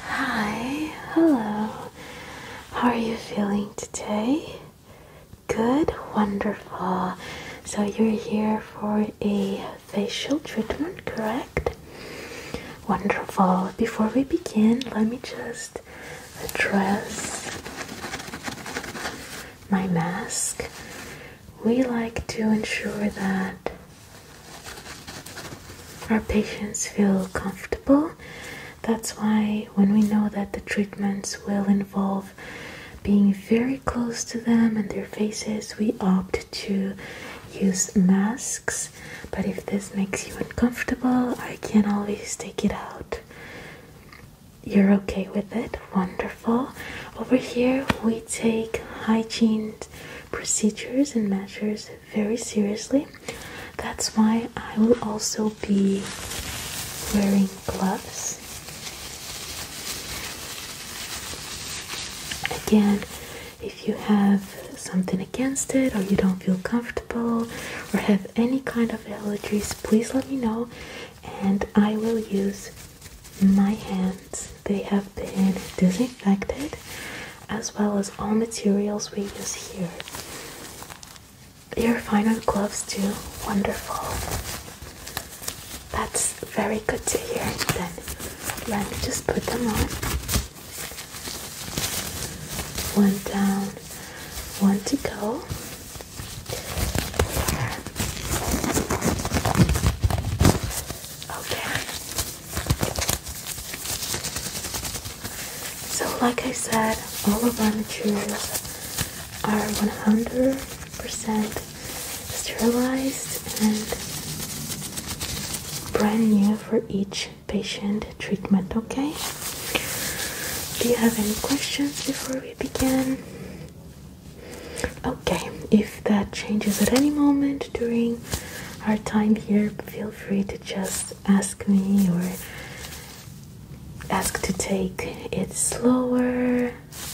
Hi, hello. How are you feeling today? Good, wonderful. So, you're here for a facial treatment, correct? Wonderful. Before we begin, let me just address my mask we like to ensure that our patients feel comfortable. That's why, when we know that the treatments will involve being very close to them and their faces, we opt to use masks. But if this makes you uncomfortable, I can always take it out. You're okay with it? Wonderful. Over here, we take hygiene procedures and measures very seriously. That's why I will also be wearing gloves. Again, if you have something against it or you don't feel comfortable or have any kind of allergies, please let me know and I will use my hands, they have been disinfected as well as all materials we use here. Your final gloves too. Wonderful. That's very good to hear. Then let me just put them on. One down, one to go. Okay. So, like I said, all of our materials are 100% sterilized and brand new for each patient treatment. Okay. Do you have any questions before we begin? Okay, if that changes at any moment during our time here, feel free to just ask me or ask to take it slower,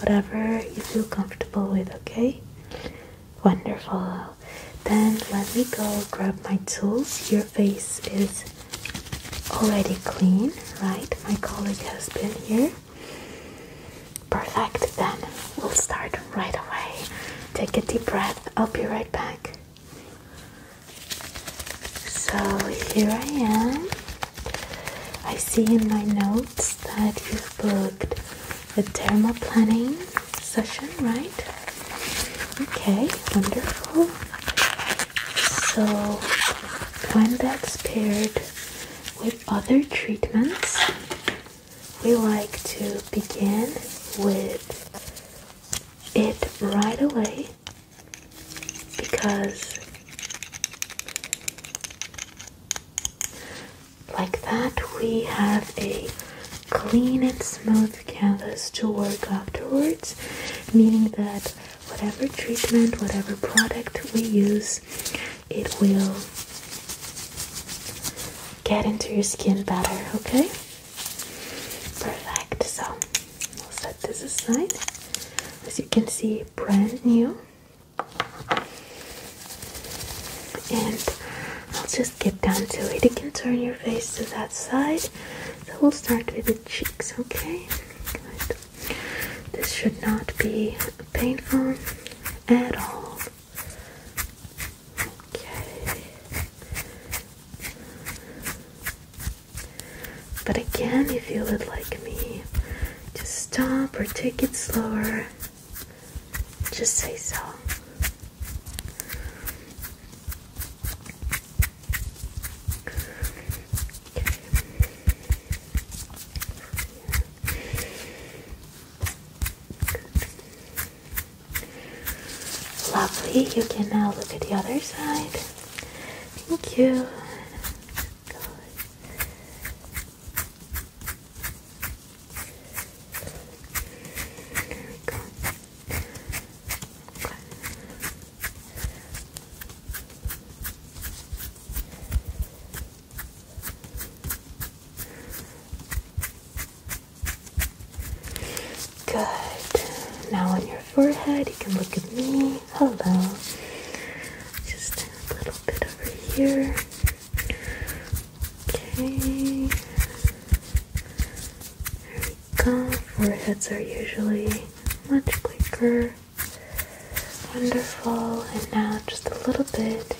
whatever you feel comfortable with, okay? Wonderful. Then let me go grab my tools. Your face is already clean, right? My colleague has been here. Perfect, then we'll start right away. Take a deep breath, I'll be right back. So here I am. I see in my notes that you've booked a thermal planning session, right? Okay, wonderful. So when that's paired with other treatments, we like to begin with it right away because like that we have a clean and smooth canvas to work afterwards meaning that whatever treatment whatever product we use it will get into your skin better, okay? Perfect. So we'll set this aside. As you can see, brand new. And I'll just get down to it. You can turn your face to that side. So we'll start with the cheeks, okay? This should not be painful at all. Okay. But again, if you would like me to stop or take it slower, just say so. Lovely, you can now look at the other side. Thank you. Good. Good. Okay. Good. Now on your forehead, you can look at me. Hello. Just a little bit over here. Okay. There we go. Foreheads are usually much quicker. Wonderful. And now just a little bit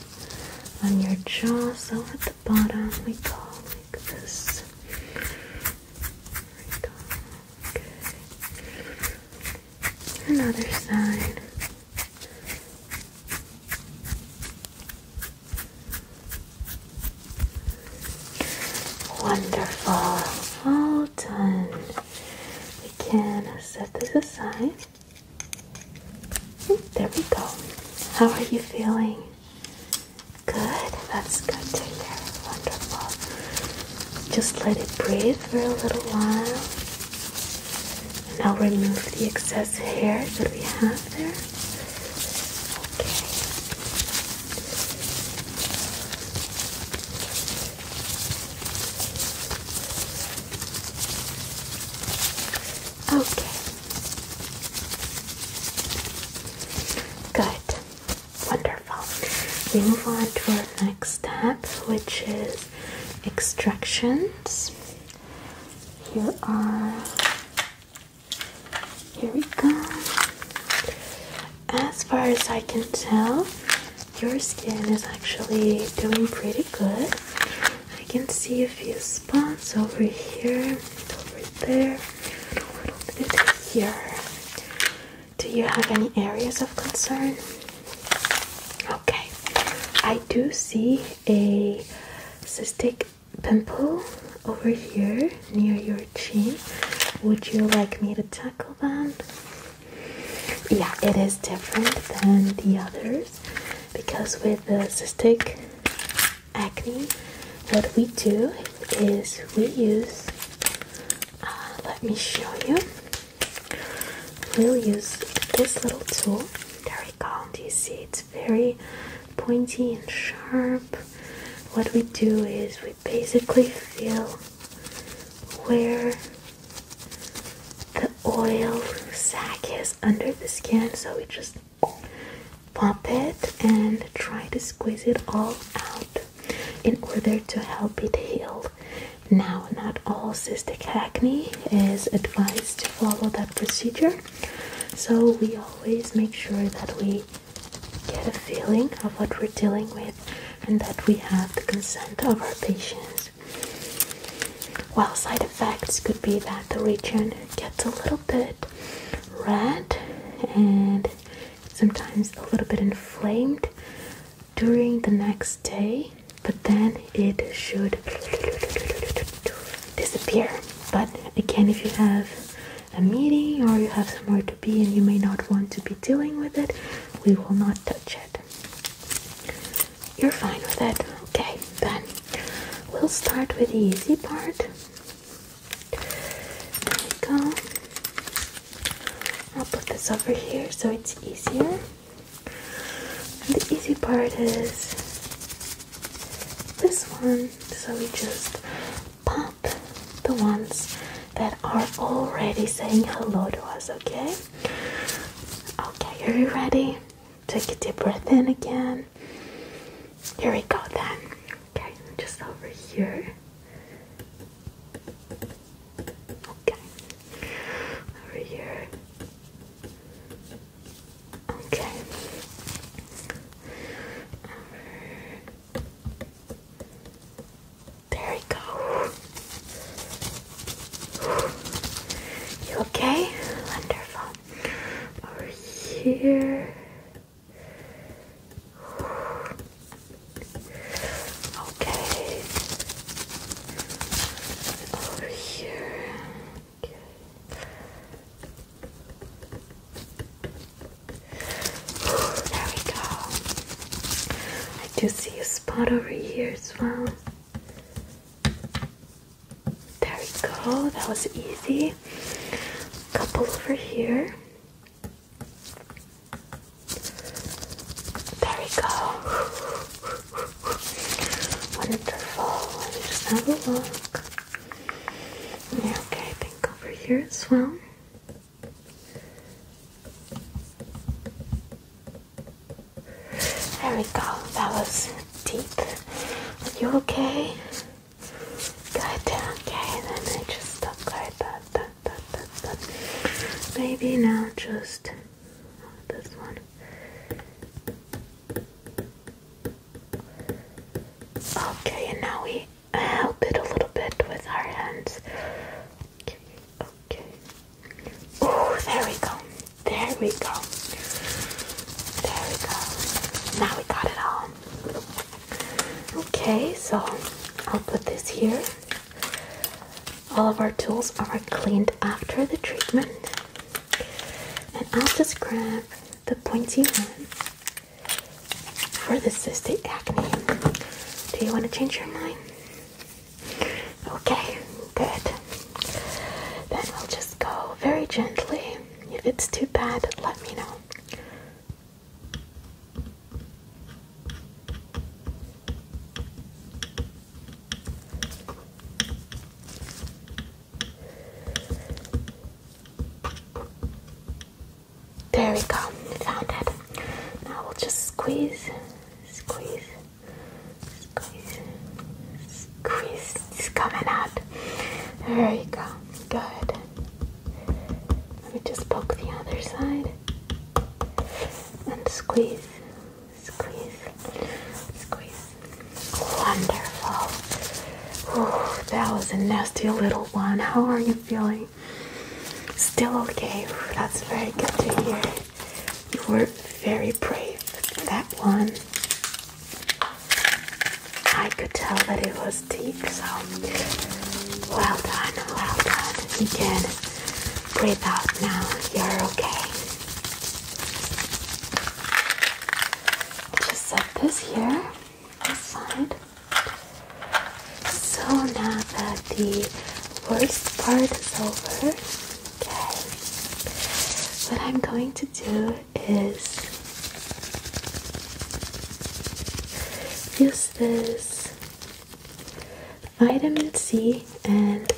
on your jaw. So at the bottom, we go like this. Another side. Wonderful. All done. We can set this aside. There we go. How are you feeling? Good. That's good to hear. Wonderful. Just let it breathe for a little while. And now remove the excess hair that we have there. Okay. Okay. Good. Wonderful. We move on to our next step, which is extractions. Here are here we go. As far as I can tell, your skin is actually doing pretty good. I can see a few spots over here, over there, and here. Do you have any areas of concern? Okay, I do see a cystic pimple over here near your chin. Would you like me to tackle that? yeah it is different than the others because with the cystic acne what we do is we use uh, let me show you we use this little tool very we you see it's very pointy and sharp what we do is we basically feel where the oil sac is under the skin, so we just pop it and try to squeeze it all out in order to help it heal. Now, not all cystic acne is advised to follow that procedure, so we always make sure that we get a feeling of what we're dealing with and that we have the consent of our patients effects? Well, side effects could be that the region gets a little bit red and sometimes a little bit inflamed during the next day, but then it should disappear. But again, if you have a meeting or you have somewhere to be and you may not want to be dealing with it, we will not touch it. You're fine with that, Okay, then we'll start with the easy part. There we go. I'll put this over here so it's easier. the easy part is this one. So we just pop the ones that are already saying hello to us, okay? Okay, are you ready? Take a deep breath in again. Here we go then. Okay, just over here. Okay. Over here. Okay. There we go. You okay? Wonderful. Over here. Okay. Over here. Okay. There we go. I do see a spot over here as well. There we go. That was easy. Couple over here. There we go. Wonderful. Let me just have a look. okay, I over here as well. There we go. That was deep. Are you okay? Good. Okay, then I just stop like that, that, that, that, that. Maybe now just this one. Okay, and now we help it a little bit with our hands. Okay. Oh, there we go. There we go. There we go. Now we got it all. Okay, so I'll put this here. All of our tools are cleaned after the treatment. And I'll just grab the pointy one for the cystic acne. Do you want to change your mind? Okay, good. Then we'll just go very gently. If it's too bad, let me know. There we go, found it. Now we'll just squeeze, squeeze. Squeeze, squeeze, it's coming out. There you go, good. Let me just poke the other side and squeeze, squeeze, squeeze. Wonderful. Ooh, that was a nasty little one. How are you feeling? Still okay. That's very good to hear. You were very brave that one. I could tell that it was deep, so well done, well done. You can breathe out now. You're okay. Just set this here aside. So now that the worst part is over. Okay. What I'm going to do is use this vitamin C and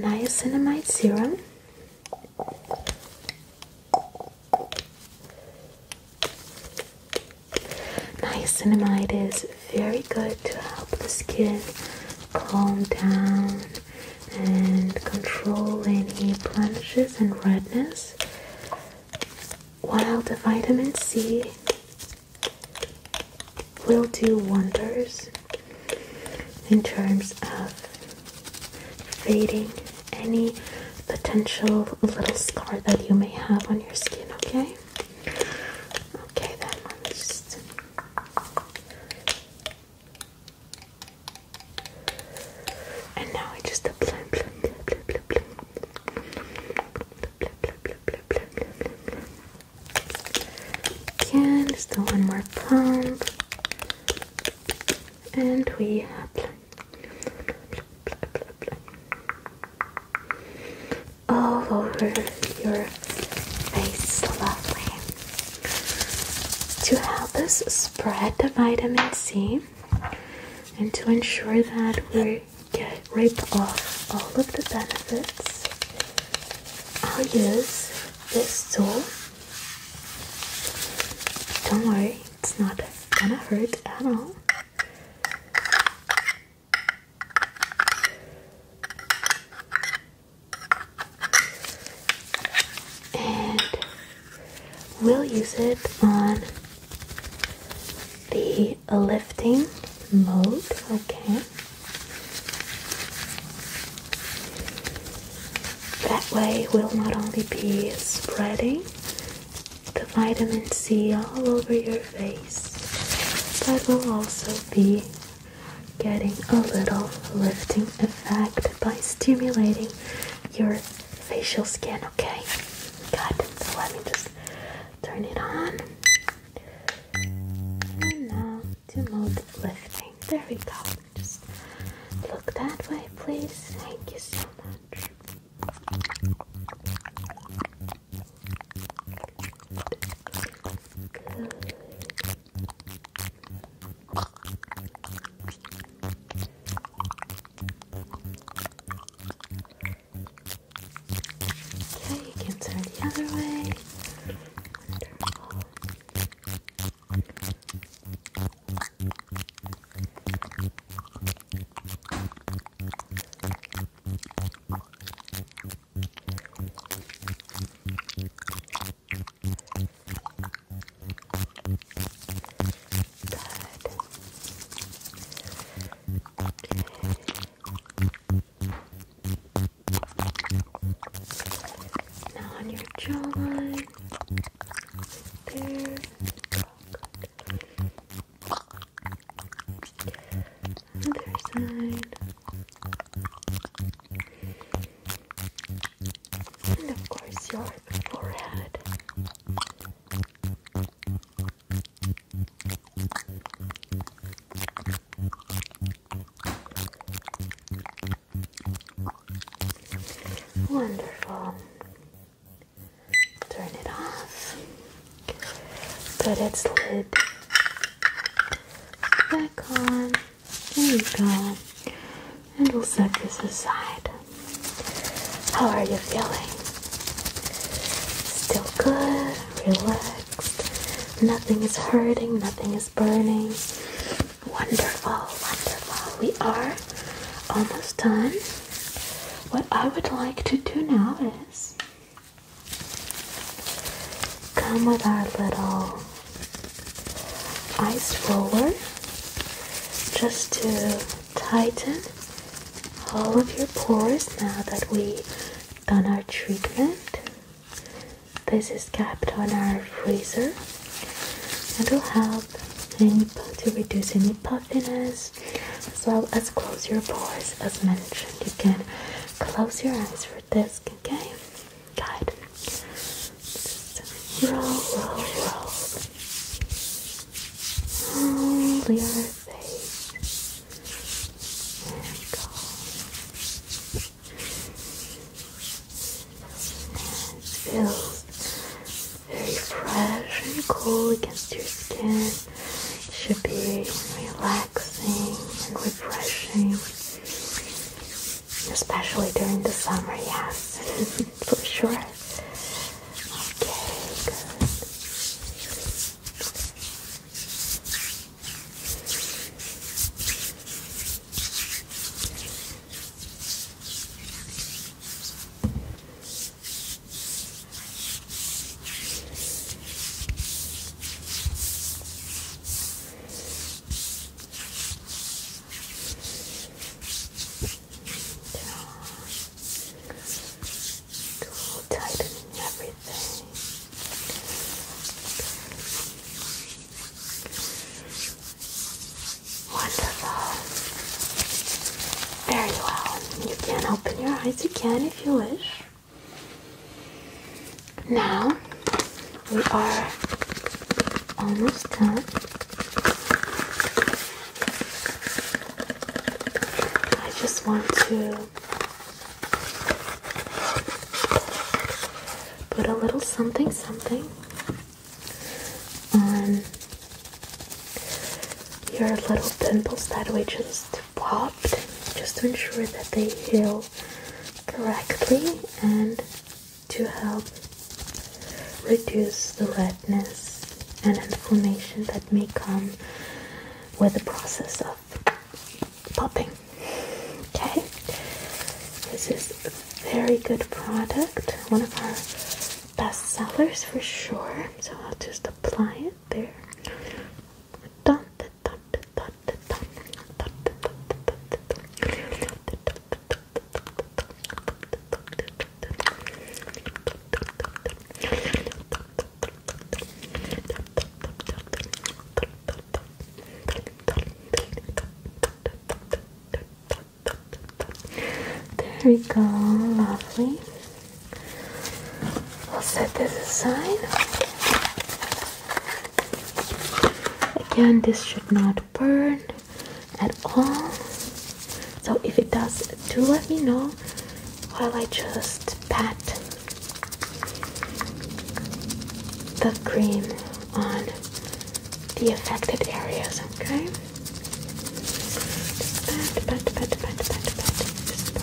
niacinamide serum. Niacinamide is very good to help the skin calm down and control any blemishes and redness while the vitamin C will do wonders in terms of fading any potential little scar that you may have on your skin, okay? Okay, then let just and now I just apply Again, just do one more pump. And we apply. All over your face, lovely to help us spread the vitamin C and to ensure that we get rid of all of the benefits. I'll use this tool. Don't worry, it's not gonna hurt at all and we'll use it on the lifting mode. Okay. That way, we'll not only be spreading the vitamin C all over your face, but we'll also be getting a little lifting effect by stimulating your facial skin, okay? Got it. So let me just turn it on. And now to mode lifting. There we go. Just look that way, please. Thank you so much. Okay, you can turn the other way. Wonderful. Now on your jawline. There. Other side. And of course, your forehead. Wonderful. Turn it off. Put its lid back on. There you go. And we'll set this aside. How are you feeling? Still good, relaxed. Nothing is hurting, nothing is burning. Wonderful, wonderful. We are almost done. What I would like to do now is come with our little ice roller just to tighten all of your pores now that we've done our treatment. This is kept on our freezer and will help any, to reduce any puffiness as well as close your pores as mentioned. You can close your eyes for this, okay? Good. Just roll, roll, roll. Hold your face. There we go. it feels very fresh and cool against your skin. It should be relaxing and refreshing especially during the summer, yes, for sure. Okay, good tightening everything. Wonderful. Very well. You can open your eyes again if you wish. Now we are almost done. I just want to put a little something something on your little pimples that we just popped just to ensure that they heal correctly and to help reduce the redness and inflammation that may come with the process of popping. Okay, this is a very good product, one of our best sellers for sure. So I'll just apply it there. There we go, lovely. We'll set this aside. Again, this should not burn at all so if it does do let me know while I just pat the cream on the affected areas okay just pat, pat, pat, pat, pat, pat, pat. Just pat.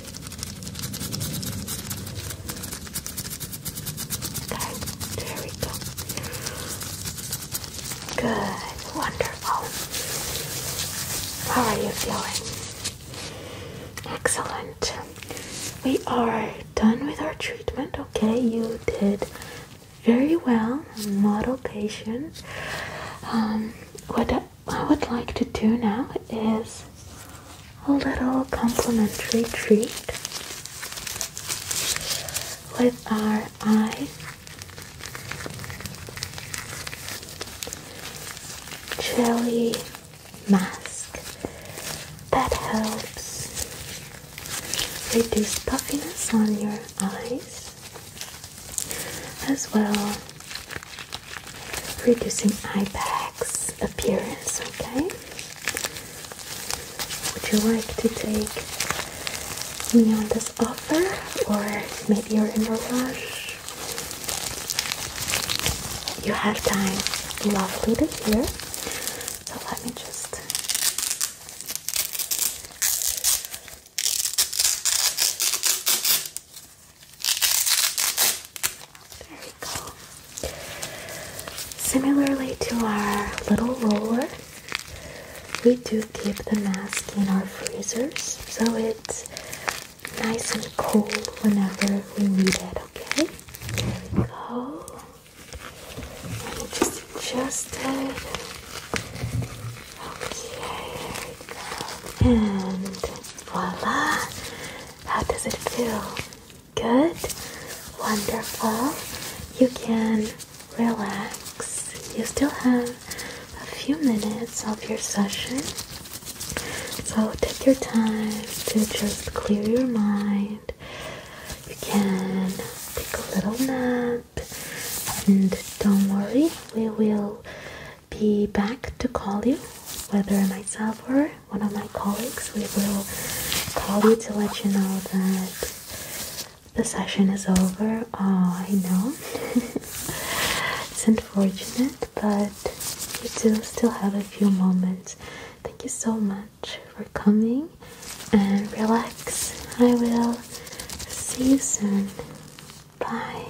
Okay, there Good, wonderful. How are you feeling? Excellent. We are done with our treatment. Okay, you did very well, model patient. Um, what I would like to do now is a little complimentary treat with our eye jelly mask that helps reduce puffiness on your eyes as well reducing eye bags appearance okay would you like to take me on this offer or maybe you're in a rush you have time lovely to hear so let me just there we go. Similarly to our little roller, we do keep the mask in our freezers so it's nice and cold whenever we need it, okay? There we go. Let me just adjust it. Okay, there we go. And voila! How does it feel? Good? Wonderful. You can relax. You still have a few minutes of your session. So take your time to just clear your mind. You can take a little nap and don't worry, we will be back to call you, whether myself or one of my colleagues. We will call you to let you know that the session is over. Oh, I know. it's unfortunate, but you do still have a few moments. Thank you so much for coming and relax. I will see you soon. Bye.